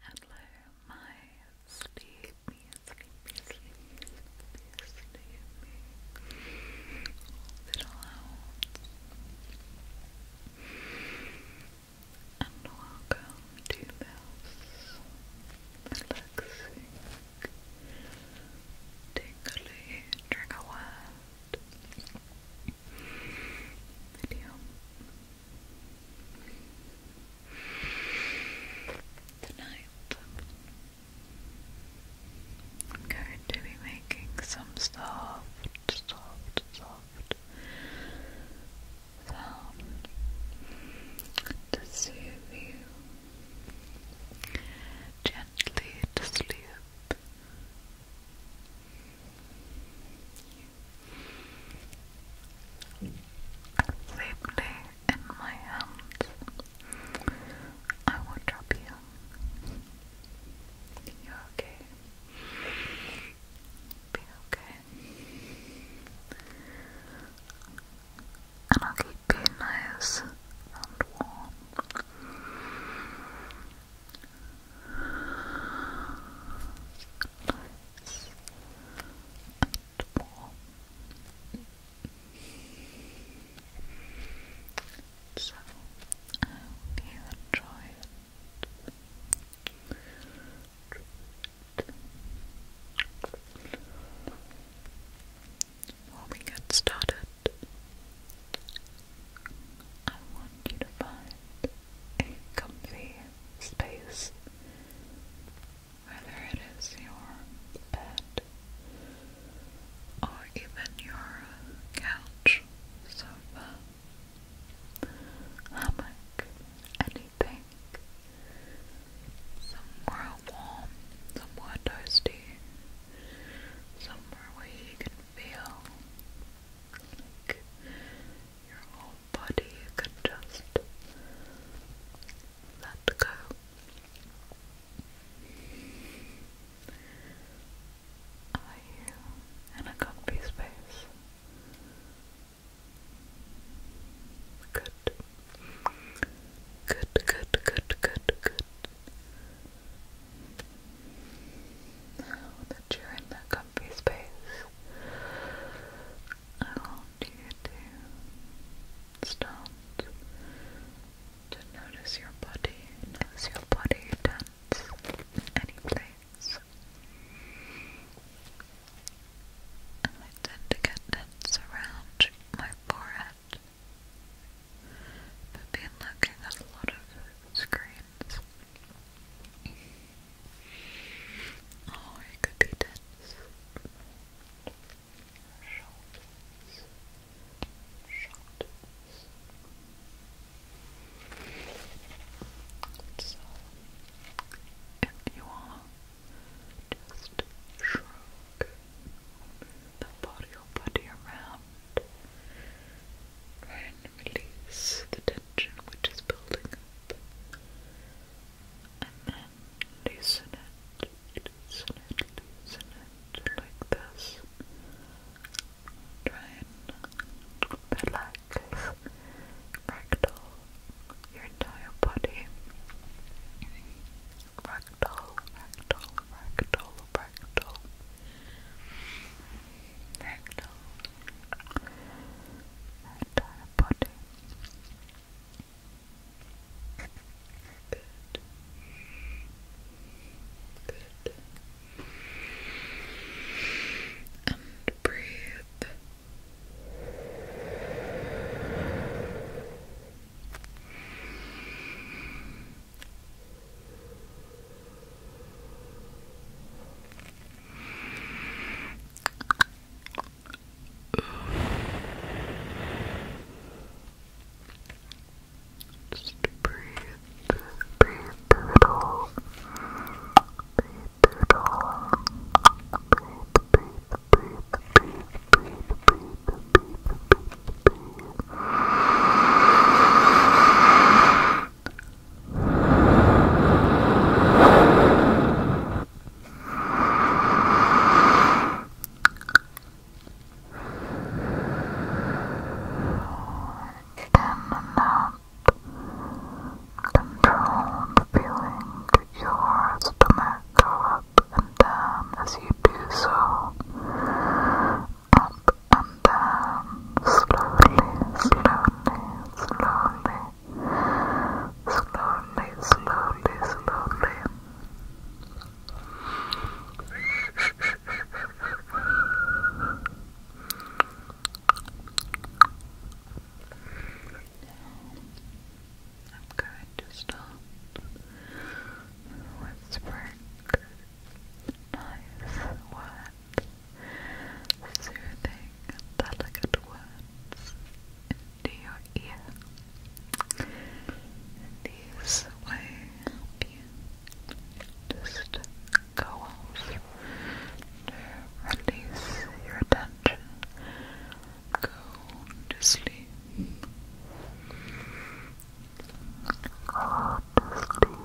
Hello, my sleepy, sleepy, sleepy, sleepy, sleepy little owls, and welcome to this relaxing, tingly trigger word video. Tonight, I'm going to be making some soft, soft, soft sound to soothe you gently to sleep. They in my hands. I will drop you. You're okay. Be okay. And I'll keep you nice and warm nice So, I hope you enjoy it. Before we get started, I want you to find a comfy space, whether it is your bed or even your couch, sofa, hammock, anything. Somewhere warm, somewhere toasty, somewhere where you can feel like your whole body, could just let go. Are you in a comfy space? Good. Good, good, good, good, good. that you're in that comfy space, I want you to start to notice your body, notice your body tense in any place. I tend to get tense around my forehead. I've been looking at a lot of screens. Oh, it could be tense. Shoulders. Shoulders. So, if you are just shrug the body or body around, release the tension which is building up. And then loosen it, loosen it, loosen it like this. Try and relax, ragdoll your entire body. Ragdoll, ragdoll, ragdoll, ragdoll fractal entire body. Good. Good. And breathe. Just breathe, breathe brutal, breathe brutal, breathe, breathe, breathe, breathe, breathe, breathe, breathe, breathe, breathe cannot control the feeling your stomach go up and down as you do so. Up and then slowly, slowly, slowly, slowly, slowly, slowly. I'm going to start with whispering nice words soothing, delicate words into your ear, and these you just go off release your tension, go to sleep. Go to sleep.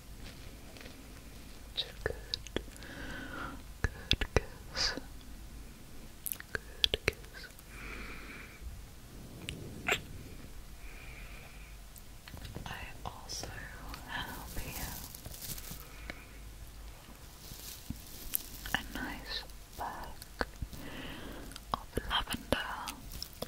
It's a good, good good, Good kiss. I also have here a nice bag of lavender this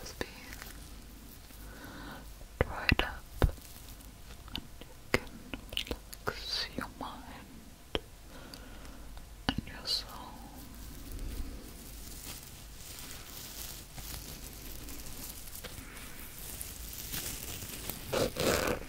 has been dried up, and you can relax your mind and your soul. Lavender, lavender, lavender, lavender, lavender, lavender.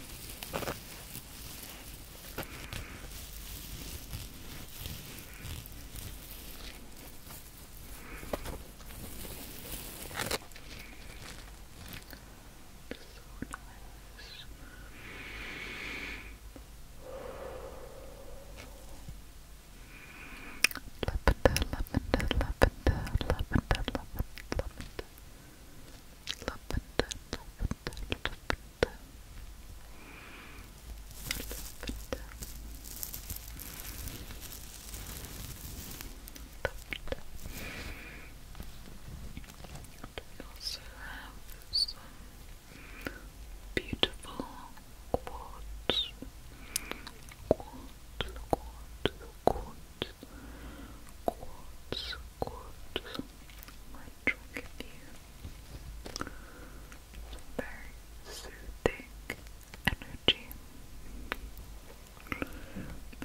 Lavender, lavender, lavender. Lavender. Lavender. We also have some beautiful quartz, quartz, quartz, quartz, quartz, quartz. Might try very soothing energy.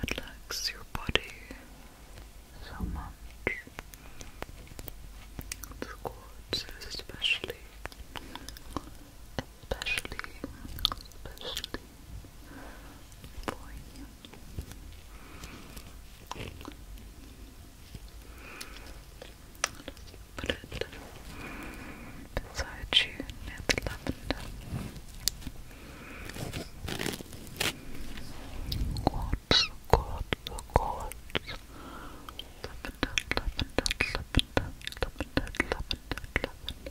Relax your body so much. quartz especially, especially, especially for you. Put it beside you near the lavender. Quartz, quartz, quartz. lavender, lavender, lavender, lavender, lavender, lavender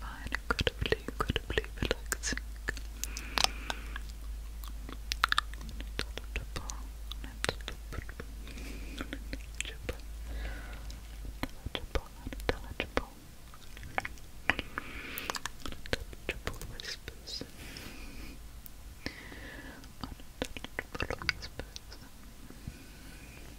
find incredibly, incredibly relaxing. Unintelligible, unintelligible whispers. Unintelligible whispers.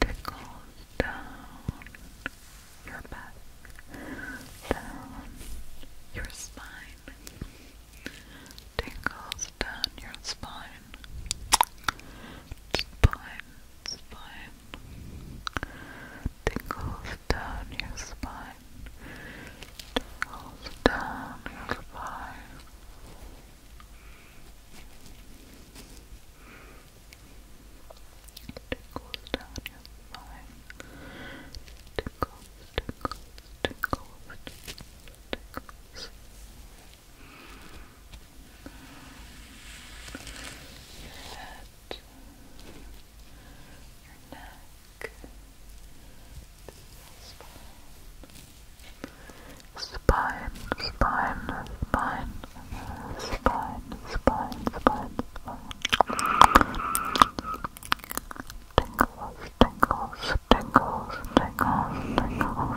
tickles down your back, down your spine, tickles down your spine, spine, spine, tickles down your spine, tickles down your spine. Tickles down your spine. Tickles, tickles, tickles, tickles. Your head, your neck, the spine spine, spine, spine, spine, spine, spine. Tingles, tingles, tingles, tingles, tingles.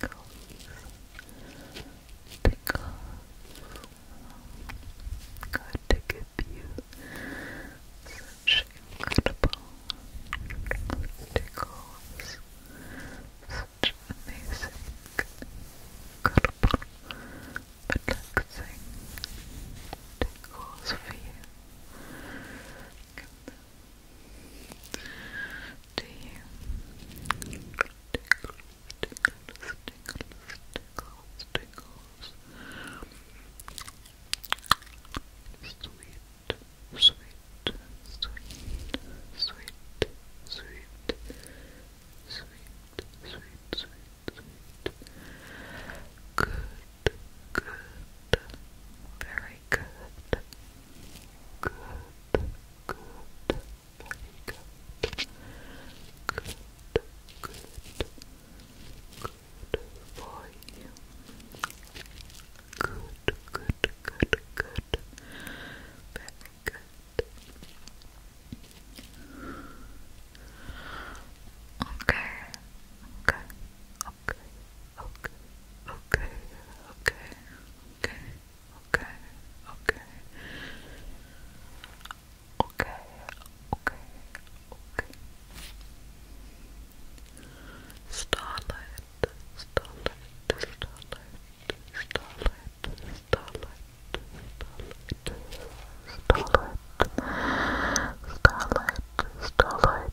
God to give you such incredible tickles, such amazing, incredible, relaxing tickles for you to you. Tickles, tickles, tickles, tickles. Sweet, sweet, sweet, sweet, sweet, sweet, sweet, sweet, sweet. Good, good, very good, good, good, very good, good, good, good for you, good, good, good, good, very good. Okay, okay, okay, okay, okay, okay okay, okay, okay, okay, okay, Starlight, starlight, starlight, starlight, starlight. Starlight, starlight, starlight, starlight,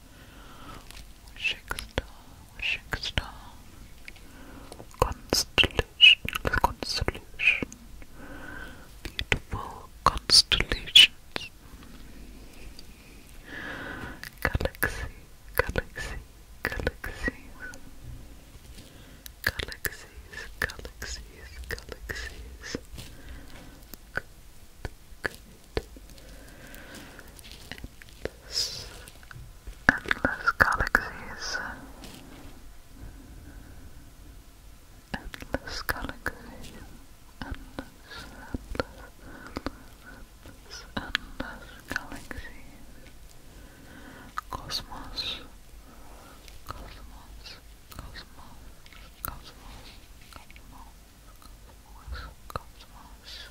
Schicksal, Schicksal, Constellation, Constellation, beautiful constellations, Galaxy, Galaxy, Galaxies, Galaxies, Galaxies, Galaxies. Good, good, endless, endless galaxies, endless galaxies, endless, endless, endless, endless galaxies, cosmos, cosmos, cosmos, cosmos, cosmos. Cosmos, cosmos,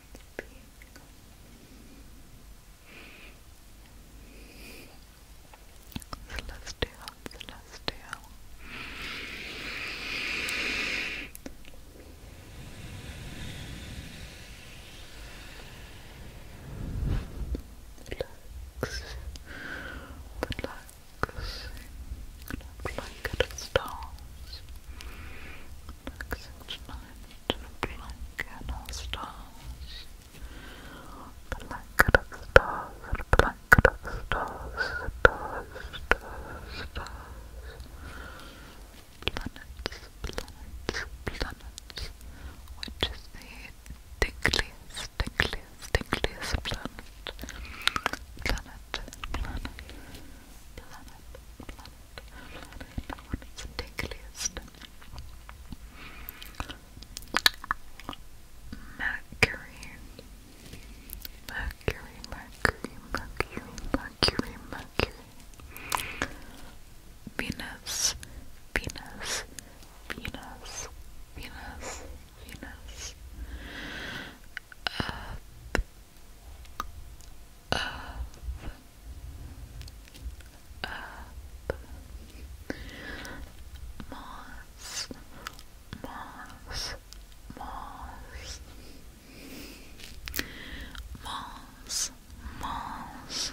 it's beautiful. Celestial, celestial. Relax, relax, look like at stars. Relaxing tonight to the blanket of stars. Blanket of stars, blanket of stars, stars, stars, stars. Planets, planets, planets. Which is the tickliest, tickliest, tickliest planet? Planet, planet, planet planet, planet on its tickliest. Mercury. Mercury, Mercury, Mercury, Mercury, Mercury. Venus, Venus, Venus, Venus, Venus. Earth, up, up, moss, moss, moss, moss, moss, moss.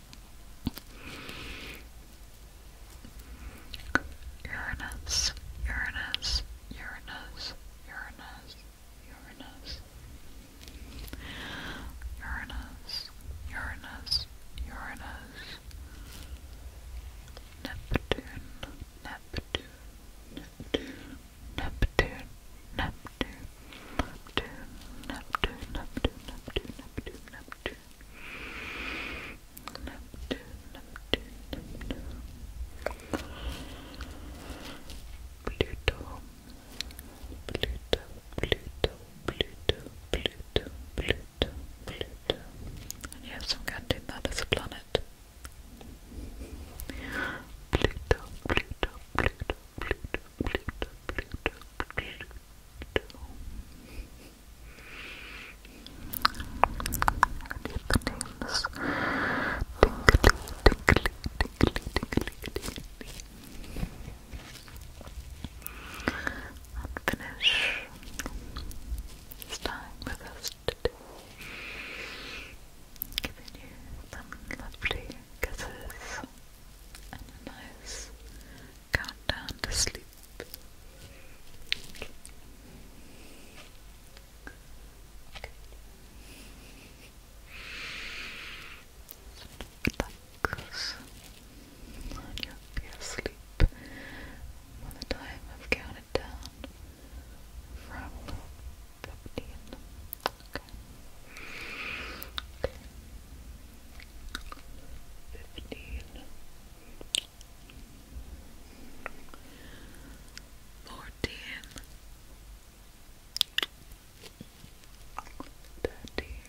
Uranus, Uranus, Uranus, Uranus, Uranus, Uranus, Uranus, Uranus, Neptune, Neptune, Neptune, Neptune, Neptune, Neptune, Neptune, Neptune, Neptune, Neptune, Neptune, Neptune, Neptune, Neptune. Pluto, Pluto, Pluto, Pluto, Pluto, Pluto, Pluto. And yes, I'm going to planet. Pluto, Pluto, Pluto, Pluto, Pluto, Pluto, Pluto. tinkly, tinkly, tinkly, tinkly, tinkly. And finish this time with us today. Giving you some lovely kisses up and a nice countdown to sleep. Okay. and you'll be asleep by the time I've counted down from 15 fifteen, fourteen, thirteen, twelve, eleven.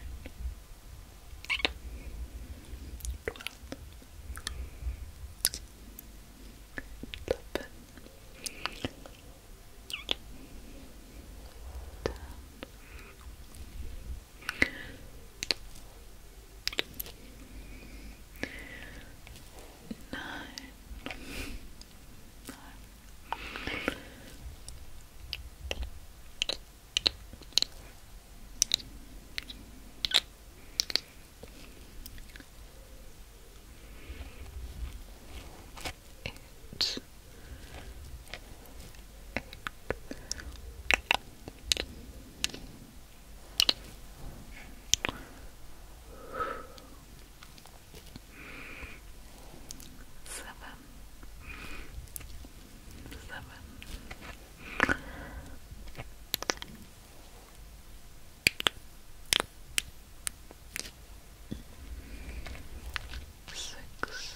10 Nine. Nine this. Seven, seven. Six,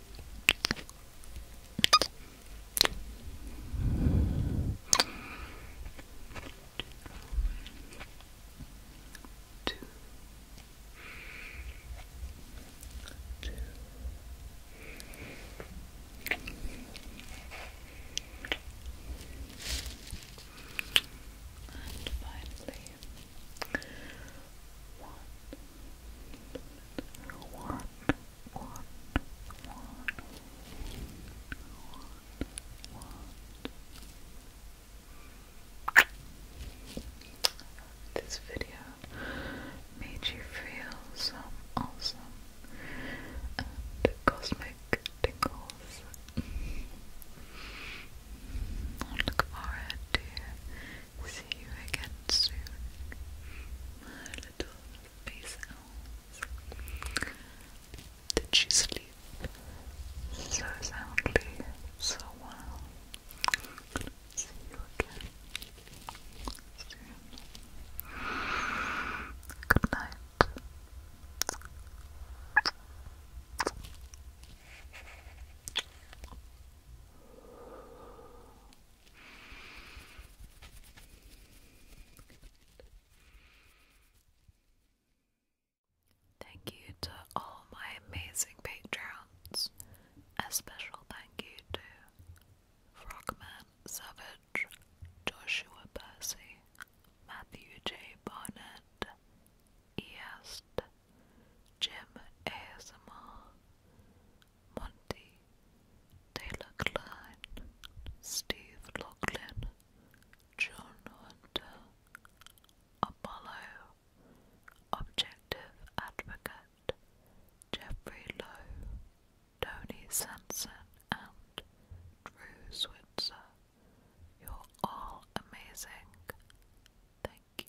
Two. Two. And finally, one, one, one, one, one, one. This video made you feel some awesome and cosmic tingles. I look forward See you again soon, my little face Did she sleep so soundly, so well? See you again soon. Good night. Thank you to all my amazing patrons. A special thank you to Frogman Savage, Joshua Percy, Matthew J. Barnett, East, Jim ASMR, Monty, Taylor Klein, Steve Loughlin, John Hunter, Apollo, Objective Advocate, Jeffrey Lowe, Tony Sanson, and Drew Switzer. You're all amazing. Thank you.